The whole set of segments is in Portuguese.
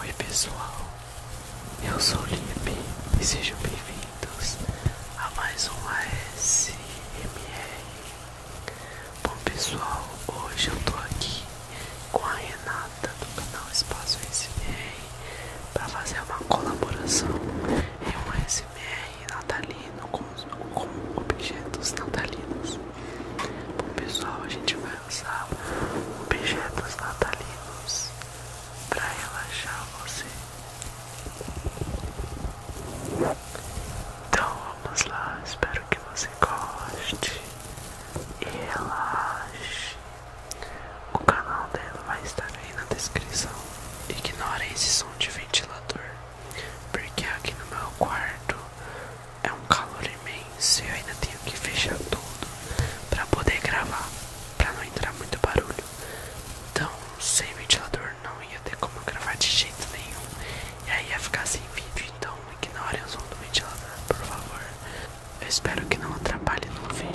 Oi pessoal, eu sou o Lipe e sejam bem-vindos a mais um ASMR. Bom pessoal, hoje eu tô aqui com a Renata do canal Espaço SMR para fazer uma colaboração em um SMR natalino com objetos natalinos. Bom pessoal, a gente vai lançar objetos natalinos para relaxar você. Então vamos lá, espero que você goste e relaxe. O canal dela vai estar aí na descrição. ignore esse som de ventilador, porque aqui no meu quarto é um calor imenso e eu ainda tenho que fechar tudo para poder gravar, para não entrar muito barulho. Então, sem ventilador não ia ter como gravar de jeito nenhum. E aí ia ficar sem vídeo, então ignorem o som do ventilador, por favor. Eu espero que não atrapalhe no vídeo.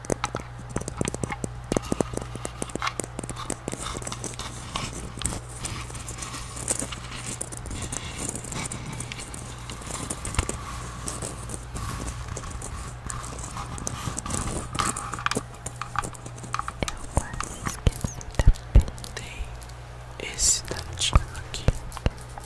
Eu esqueci da Tem esse dadinho aqui.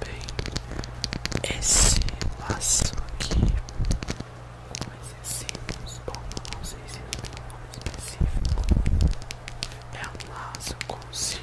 Tem também esse laço aqui, mas esse, bom, não sei se é um nome específico. É um laço com símbolo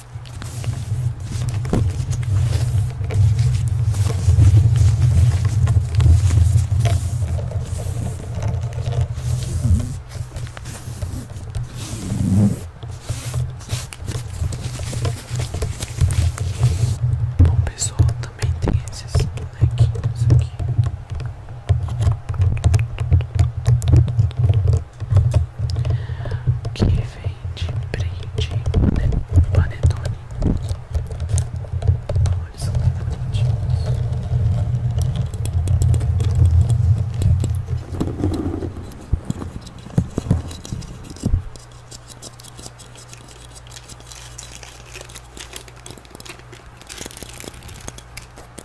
Bom pessoal, também tem esses isso aqui que vem de brinde né? panetone. Olha, são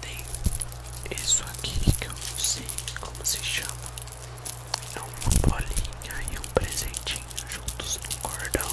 Tem isso aqui que eu não sei como se chama. É uma bolinha e um presentinho juntos no cordão.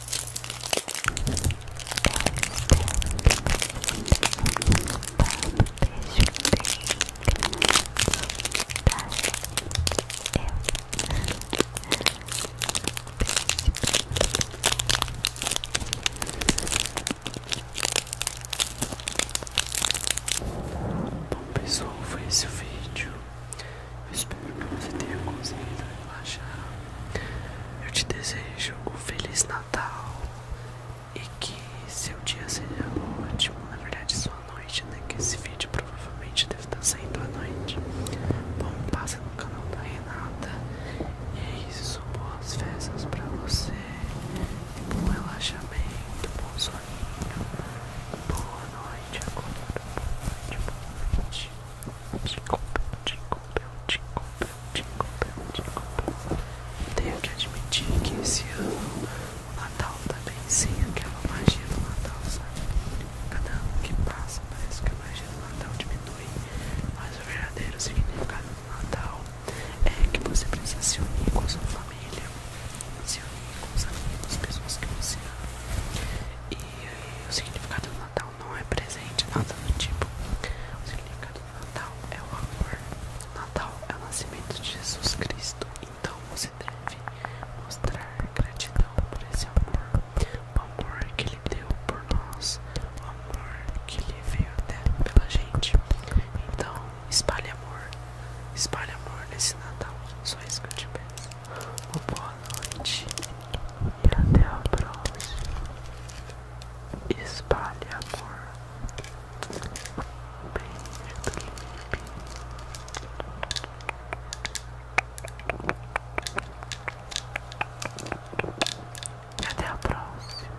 Bom pessoal, foi esse o vídeo. Eu espero que você tenha conseguido relaxar. Eu te desejo um Feliz Natal e que seu dia seja ótimo. Na verdade, sua noite, né? Que esse vídeo provavelmente deve estar sendo à noite. Bom, passe no canal da Renata. E é isso. Boas festas pra você. Bom relaxamento, bom soninho. Boa noite noite, agora, boa noite, boa noite. Jingle bell, jingle Tenho que admitir que esse ano o Natal tá bem aquela magia do Natal, sabe? Cada ano que passa parece que a magia do Natal diminui, mas o verdadeiro significado do Natal é que você precisa se unir com a sua família família, se unir com os amigos, pessoas que você ama. E o significado do Natal não é presente, nada do tipo. O significado do Natal é o amor. O Natal é o nascimento de Jesus Cristo. Então você deve mostrar gratidão por esse amor. O amor que ele deu por nós. O amor que ele veio até pela gente. Então Espalhe amor, espalhe amor nesse Natal. Só isso que eu te peço. Uma boa noite e até a próxima. Espalhe amor. Um beijo do E até a próxima.